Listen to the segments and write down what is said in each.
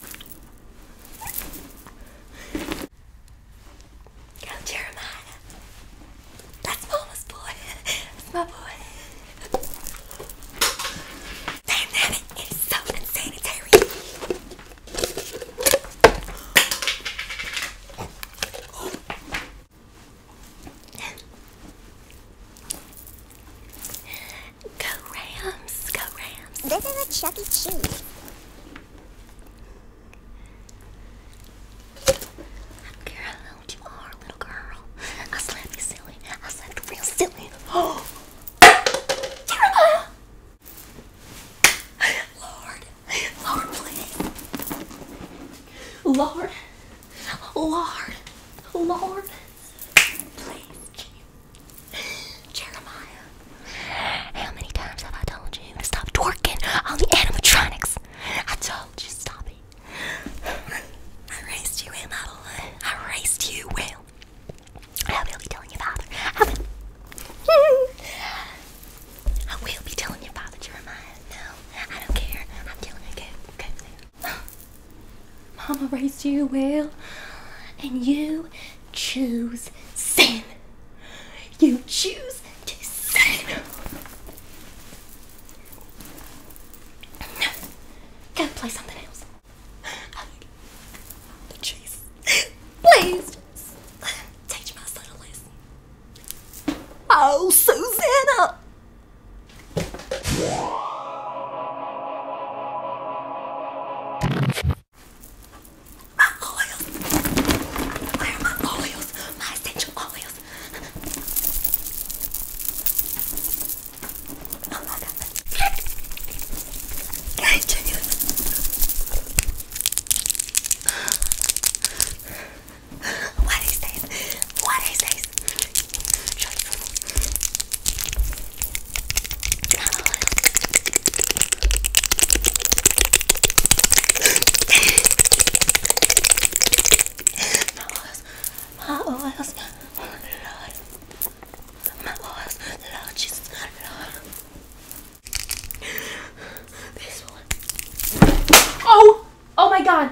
Girl, Jeremiah. That's mama's boy. That's my boy. Dynamic is so insanitary. Go Rams! Go Rams! This is a Chuckie Cheese. I don't care how old you are, little girl. I slapped you silly. I slapped real silly. Oh! Jeremiah! Lord! Lord, please! Lord! Lord! Lord! Please, Jeremiah, how many times have I told you to stop twerking on the animatronics? I told you, stop it. I raised you well, I raised you well. I will be telling your father. I will. I will be telling your father, Jeremiah. No, I don't care. I'm telling you, good, Mama raised you well, and you choose sin. You choose to sin. No. Go play something else. Please. Oh, Susanna! My oils. Where my oils? My essential oils. Oh my god. Can I check What is this? What is this? Not oil. My oils, my oils, oh Lord. My oils, Lord Jesus, Lord. Oh! Oh my God!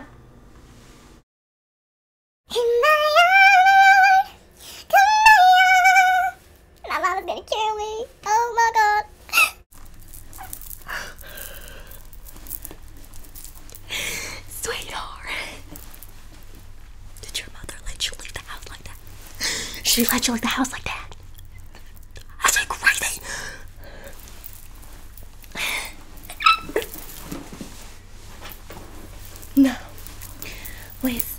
My mom is gonna kill me. Oh my god. Sweetheart. Did your mother let you leave the house like that? She let you leave the house like that. That's crazy. No. Liz.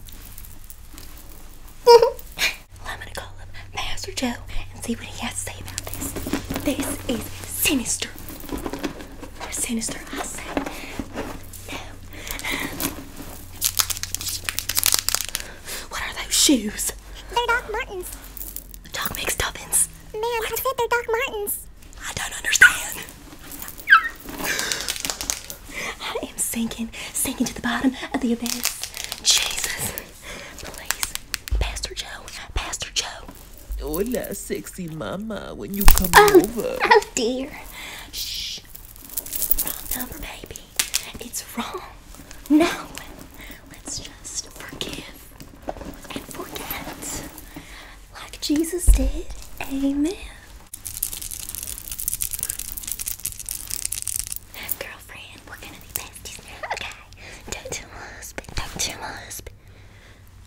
I'm gonna call up Master Joe and see what he has to say about this. This is sinister. Sinister, I say. No. Um, what are those shoes? They're Doc Martens. Doc Martens. Man, I said they're Doc Martens. I don't understand. I am sinking, sinking to the bottom of the abyss. Jesus, please, Pastor Joe, Pastor Joe. Hola, oh, sexy mama. When you come oh, over. Oh dear. Shh. Wrong number, baby. It's wrong. No. Let's just forgive and forget, like Jesus did. Amen. Girlfriend, we're gonna be besties now. Okay. Don't tell my husband. Don't tell my husband.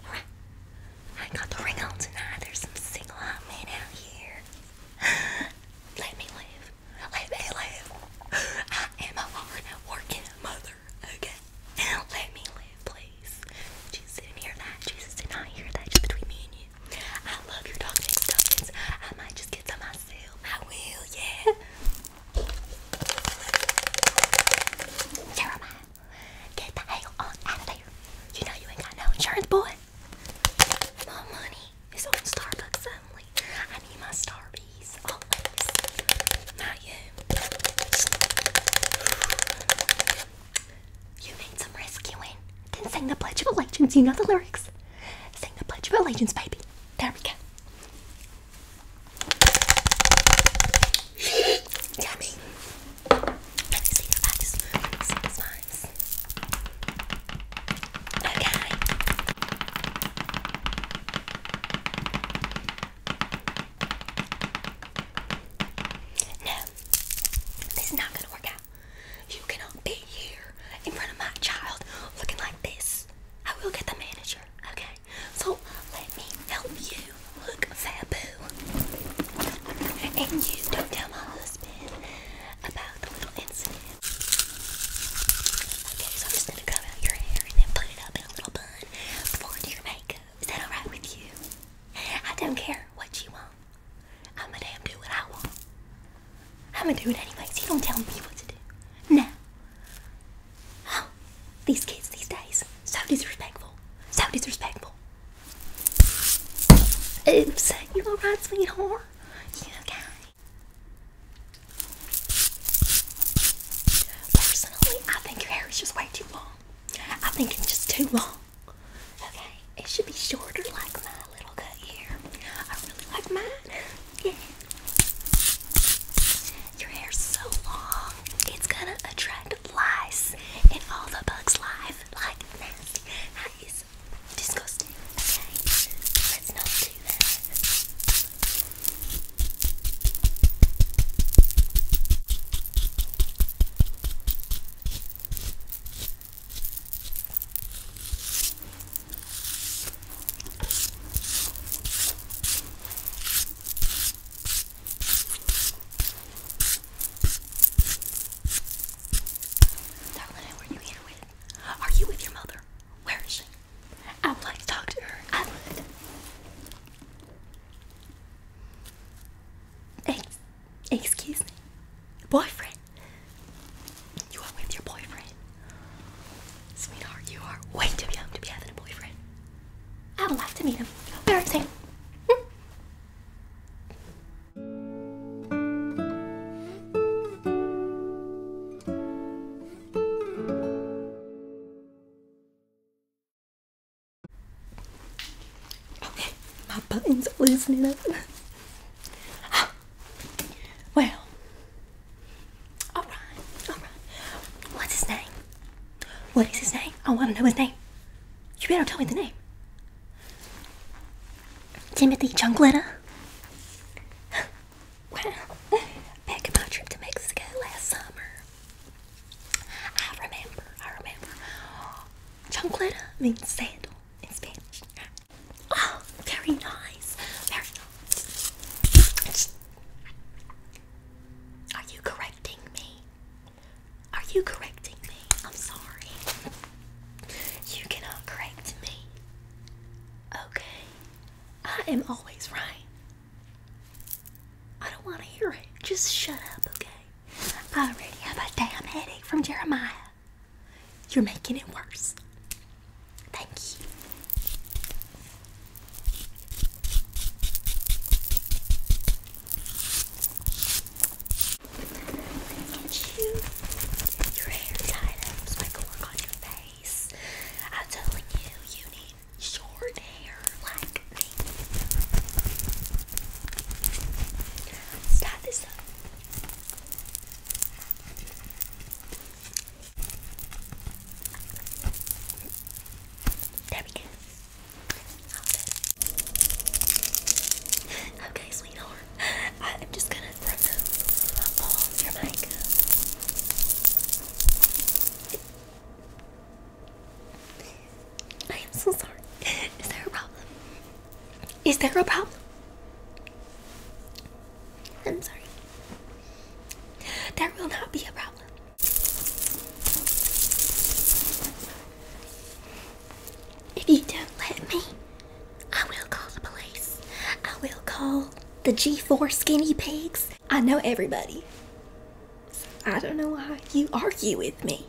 I got the ring on tonight. There's some single hot men out here. Let me live. Let me live. I am a hard working mother. Okay. Let me live, please. Jesus didn't hear that. Jesus did not hear that. Just between me and you. I love your dog named Duffins. I might just get some myself. I will, yeah. Jeremiah, get the hell on out of there. You know you ain't got no insurance, boy. My money is on Starbucks only. I need my Starbies Not you. You made some rescuing. Eh? Then sing the Pledge of Allegiance. You know the lyrics. Sing the Pledge of Allegiance, baby. There we go. Yummy. Let me see if I Okay. No, this is not gonna work out. You cannot be here in front of my child looking like this. I will get the manager, okay? So let me help you look fabu. And you don't tell my husband about the little incident. Okay, so I'm just gonna comb out your hair and then put it up in a little bun before your makeup. Is that alright with you? I don't care what you want. I'ma do what I want. I'ma do it anyways. You don't tell me what to do. Now. Oh, these kids these days. So disrespectful. So disrespectful. Oops. You alright, sweetheart? You okay? Personally, I think your hair is just way too long. I think it's just too long. Okay. It should be shorter like my little cut hair. I really like mine. Yeah. Your hair's so long, it's gonna attract lice and all the bugs live. Like nasty. disgusting. Let's not do that. Darling, were you here Are you with your mother? Where is she? I would like to talk to her. I would. Thanks. Excuse me. Boyfriend. You are with your boyfriend. Sweetheart, you are way too young to be having a boyfriend. I would like to meet him. Embarrassing. Hmm. Okay, my buttons are loosening up. Ah, well, all right, all right. What's his name? What is his name? I want to know his name. You better tell me the name. Timothy Jungletta. Wow. Back in my trip to Mexico last summer, I remember, I remember. Jungletta means sandal in Spanish. Oh, very nice. Very nice. Are you correcting me? Are you correcting me? I'm sorry. You cannot correct me. Okay. I am always right. I don't want to hear it. Just shut up, okay? I already have a damn headache from Jeremiah. You're making it worse. Thank you. Get you your hair tied up so work on your face. I'm telling you, you need short hair like tie this up. There we go. Okay, sweetheart. I'm just gonna remove all your makeup. I am so sorry. Is there a problem? Is there a problem? I'm sorry. There will not be a problem. If you don't let me, I will call the police. I will call the G4 skinny pigs. I know everybody. I don't know why you argue with me.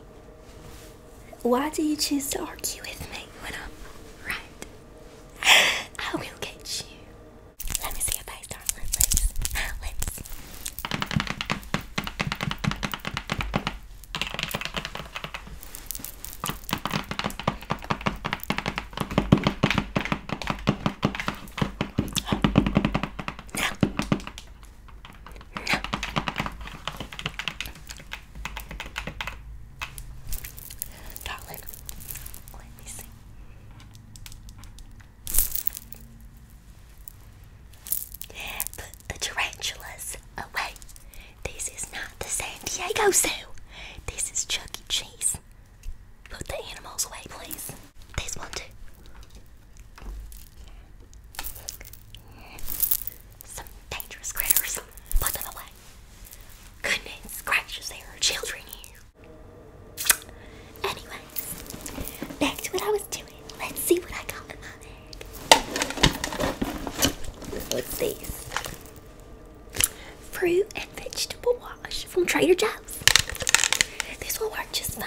Why do you choose to argue with me when I'm right? I will get you. Let me see your face, darling. Lips. Lips. Darling, let me see. Put the tarantulas away. This is not the San Diego Zoo. This is Chuck E. Cheese. Put the animals away, please. This one, too. Some dangerous critters. Put them Goodness gracious, there are children here. Anyways, back to what I was doing. Let's see what I got in my bag. What's this? Fruit and vegetable wash from Trader Joe's. This will work just fine.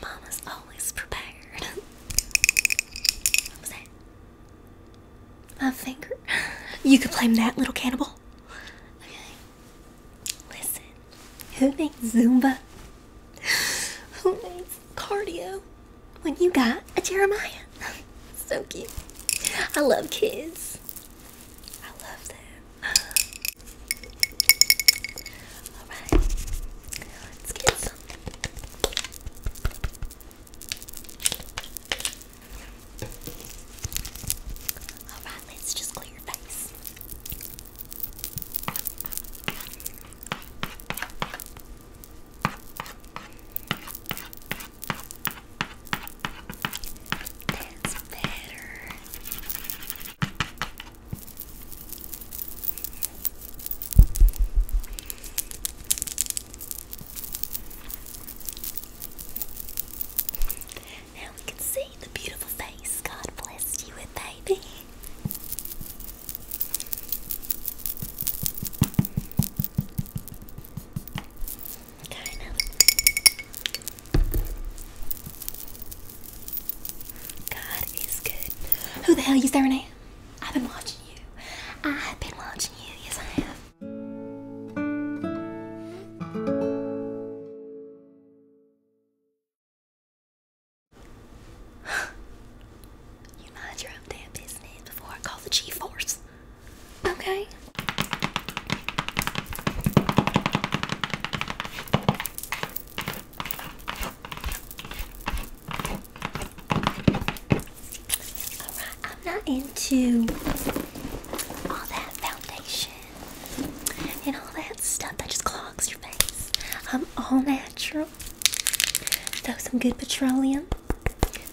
Mama's always prepared. what was that? My finger. You could blame that, little cannibal. Listen. Who needs Zumba? Who needs cardio when you got a Jeremiah? so cute. I love kids. I love them. Alright, let's get some. Alright, let's just clear your face. That's better. Now we can see the beautiful face God blessed you with, baby. Okay, God is good. Who the hell are you staring at? I've been watching you. I have been watching you. Yes, I have. you mind your own damn business before I call the G-force. Okay. I'm not into all that foundation and all that stuff that just clogs your face. I'm all natural. Throw some good petroleum.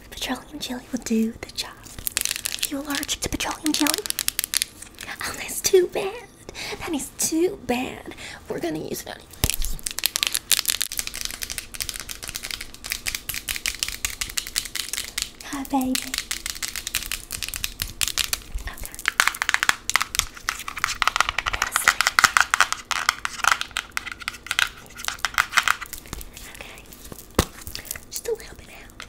petroleum jelly will do the job. Are you allergic to petroleum jelly? Oh, that's too bad. That is too bad. We're gonna use it anyways. Hi, baby. Okay. Okay. Just a little bit out.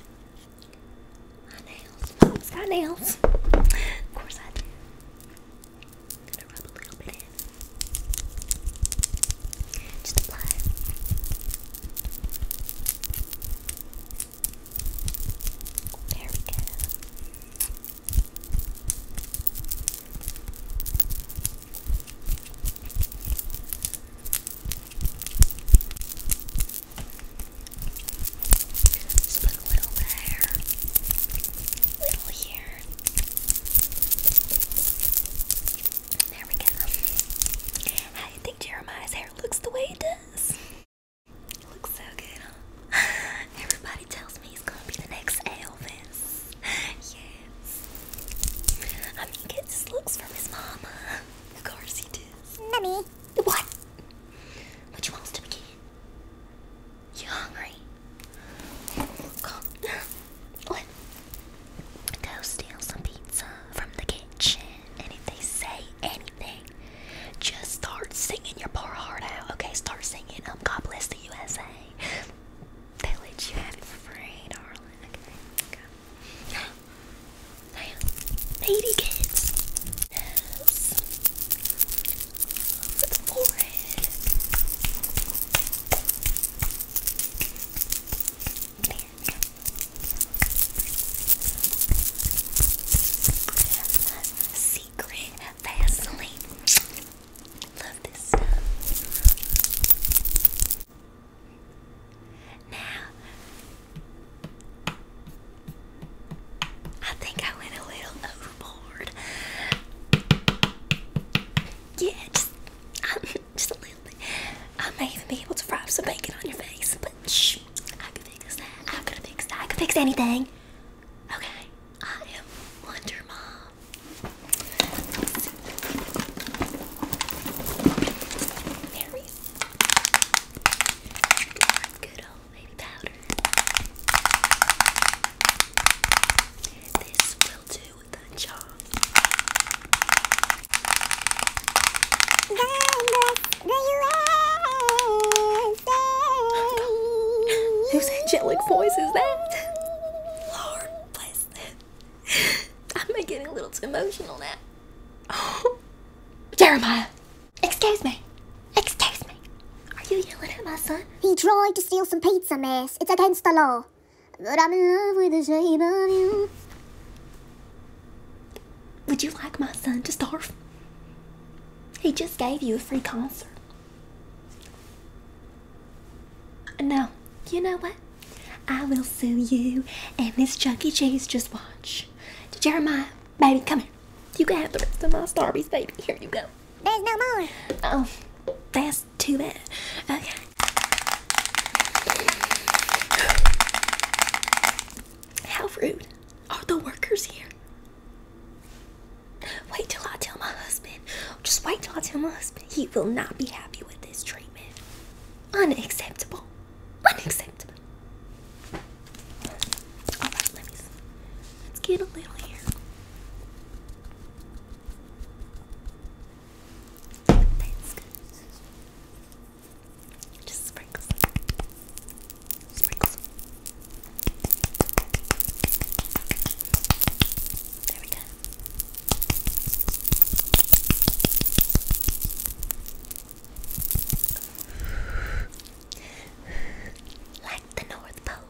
My nails. it got nails. Of course I do gonna rub a little bit in. Just apply. There we go. Just a little there, little how do you think Jeremiah's hair looks the way it does? looks so good, Everybody tells me he's gonna be the next Elvis. Yes. I mean, he gets looks from his mama. Of course Mommy. What? What you to begin? You hungry? Go steal some pizza from the kitchen, and if they say anything, just start singing your poor heart out. Okay, start singing. Um, God bless the USA. They let you have it for free, darling. Okay, okay. Damn, baby kids. Secret Vaseline. Love this stuff. Now, I think I went a little overboard hard. Um, just, a little bit. I may even be able to fry some bacon on your face, but shh, I can fix that. I can fix that. I can fix anything. Okay, I am Wonder Mom. Berries. Good old Who's powder. This angelic voice is that? Eh? Lord bless them. I'm getting a little too emotional now. Jeremiah, excuse me. Excuse me. Are you yelling at my son? He tried to steal some pizza, miss. It's against the law. But I'm in love with the shape of you. Would you like my son to starve? He just gave you a free concert. No, you know what? I will sue you and Miss Chuck E. Cheese. Just watch. Jeremiah, baby, come here. You can have the rest of my Starbies, baby. Here you go. There's no more. Oh, that's too bad. Okay. How rude. Are the workers here? Wait till I tell my husband. Just wait till I tell my husband. He will not be happy with this treatment. Unacceptable. Unacceptable. Let's get a little here. That's good. Just sprinkle Sprinkle There we go. Like the North Pole,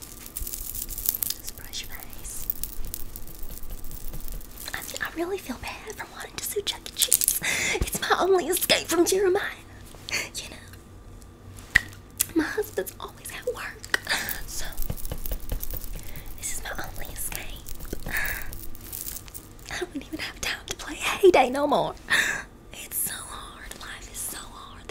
let brush your eyes. I, really feel bad for wanting to sue Chuck E. Cheese. It's my only escape from Jeremiah. You know, my husband's always at work, so this is my only escape. I don't even have time to play Heyday no more. It's so hard. Life is so hard.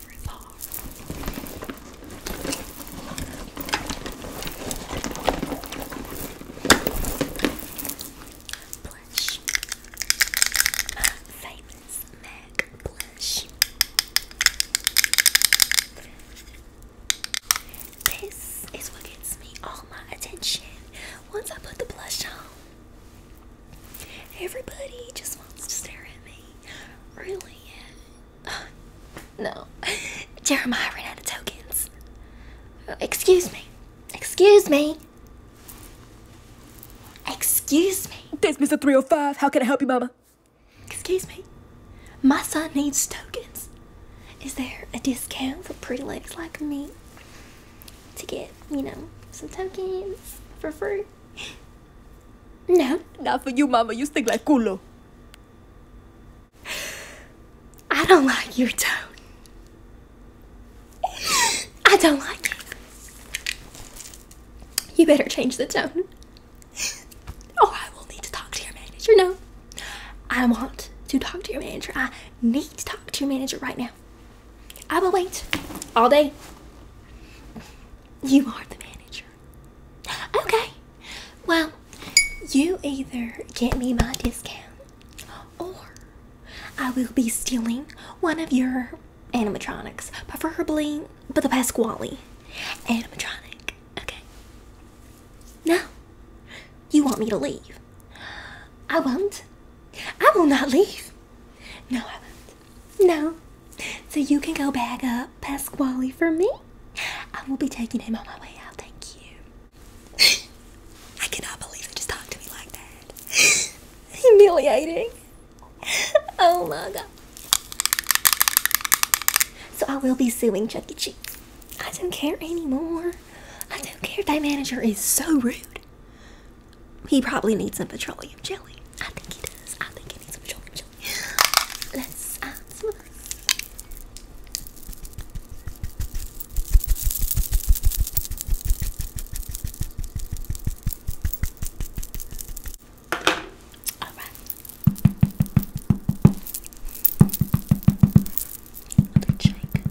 favorite Blush. famous MAC blush. This is what gets me all my attention once I put the blush on. Everybody just wants to stare at me. Really, no. Jeremiah ran out of tokens. Excuse me. Excuse me. Excuse me. This Mr. 305. How can I help you, Mama? Excuse me. My son needs tokens. Is there a discount for pretty legs like me to get, you know, some tokens for free? No. Not for you, Mama. You stink like culo. I don't like your tone. I don't like it. You better change the tone. Oh, I will need to talk to your manager. No, I want to talk to your manager. I need to talk to your manager right now. I will wait all day. You are the manager. Okay. Well, you either get me my discount or I will be stealing one of your animatronics, preferably but the Pasquale animatronic. Okay. No. You want me to leave? I won't. I will not leave. No, I won't. No. So you can go bag up Pasquale for me. I will be taking him on my way out. Thank you. I cannot believe they just talked to me like that. Humiliating. Oh my god. So I will be suing Chuckie E. Cheese. I don't care anymore. I don't care. That manager is so rude. He probably needs some petroleum jelly. I think he does. I think he needs some petroleum jelly. Let's smooth. All right. Another shake.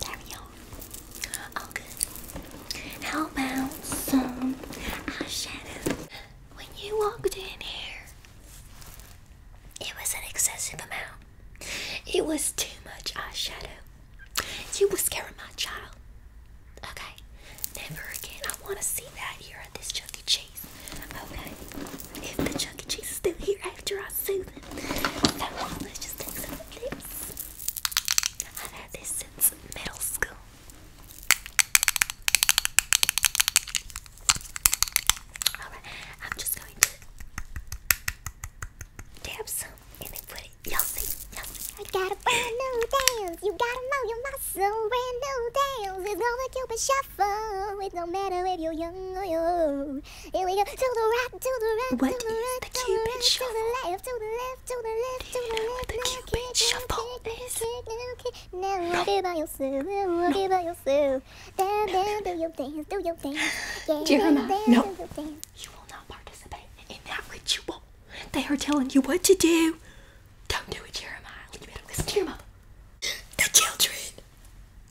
There we go. All good. How about some eyeshadow? When you walked in here, it was an excessive amount. It was too much eyeshadow. You were scaring my child. Okay? Never again. I want to see that here at this Chuck Cheese. Okay? If the Chuck Cheese is still here after I soothe it. So, let's just take some of this. I've had this since middle school. Alright, I'm just going to dab some and put it You'll see, you'll see. I got a brand new dance. You gotta move your muscle. Brand new dance. It's gonna keep a shuffle. It don't matter if you're young or old. Here we go. To the right, to the right, what to the right, the to the right, shuffle? to the left, to the left, to the left, to the left. The Cupid no, kick, shuffle no, kick, is. No, now no. walk it by yourself. Now walk no. it by yourself. Down, down, do your dance, do your dance. Yeah, do you dance, dance, no. do your dance you will not participate in that ritual. They are telling you what to do. Don't do it, Jeremiah. You better listen to your mother. The children.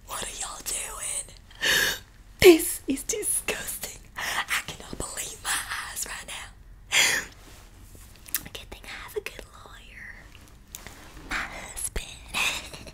What are y'all doing? This is disgusting. I cannot believe my eyes right now. Good thing I have a good lawyer. My husband.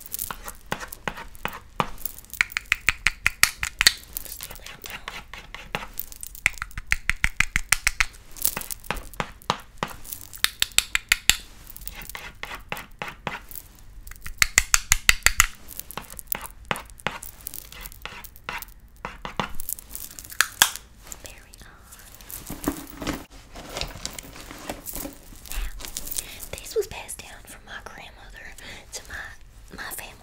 Just the other umbrella. There we are. Now, this was passed down from my grandmother to my my family.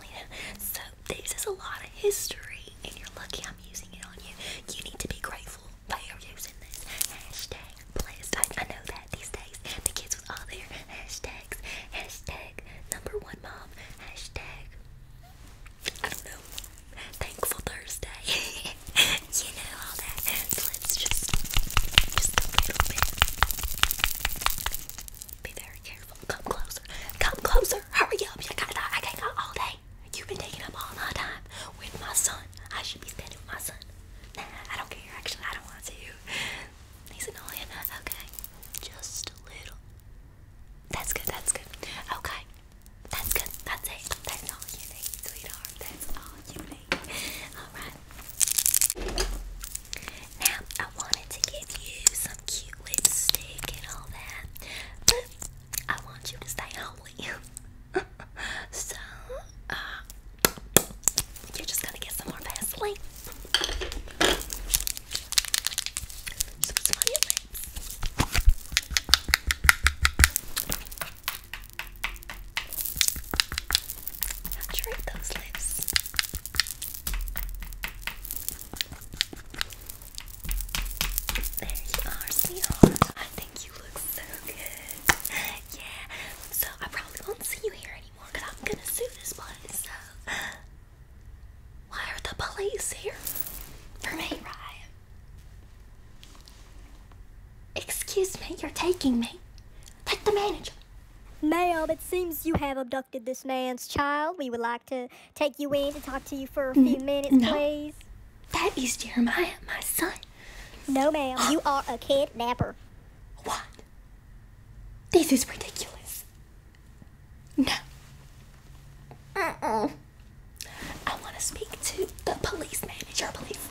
So this is a lot of history, and you're lucky I'm using it on you. You need to be grateful that you're using this hashtag blessed. I, I know that these days the kids with all their hashtags, hashtag number one mom, hashtag I don't know, thankful Thursday. you know, all that. So let's just, just a little bit. Be very careful. Come closer. Come closer. Hurry up. You got, I, I can't go all day. You've been taking up all my time with my son. I should be spending with my son. Nah, I don't care. Actually, I don't want to. He's annoying. Okay. Just a little. That's good. That's good. Okay. That's good. That's it. That's all you need, sweetheart. That's all you need. Alright. Now, I wanted to give you some cute lipstick and all that, but I want you to stay holy. so, uh, you're just gonna get some more Vaseline. Saturate those lips. There you are, sweetheart. I think you look so good. Yeah. So I probably not see you here anymore I'm gonna sue this place. So why are the police here? For me, right? Excuse me, you're taking me. Take the manager. Ma'am, it seems you have abducted this man's child. We would like to take you in to talk to you for a few mm-hmm. minutes, please. That is Jeremiah, my son. No, ma'am. you are a kidnapper. What? This is ridiculous. No. Uh-uh. I want to speak to the police manager, please.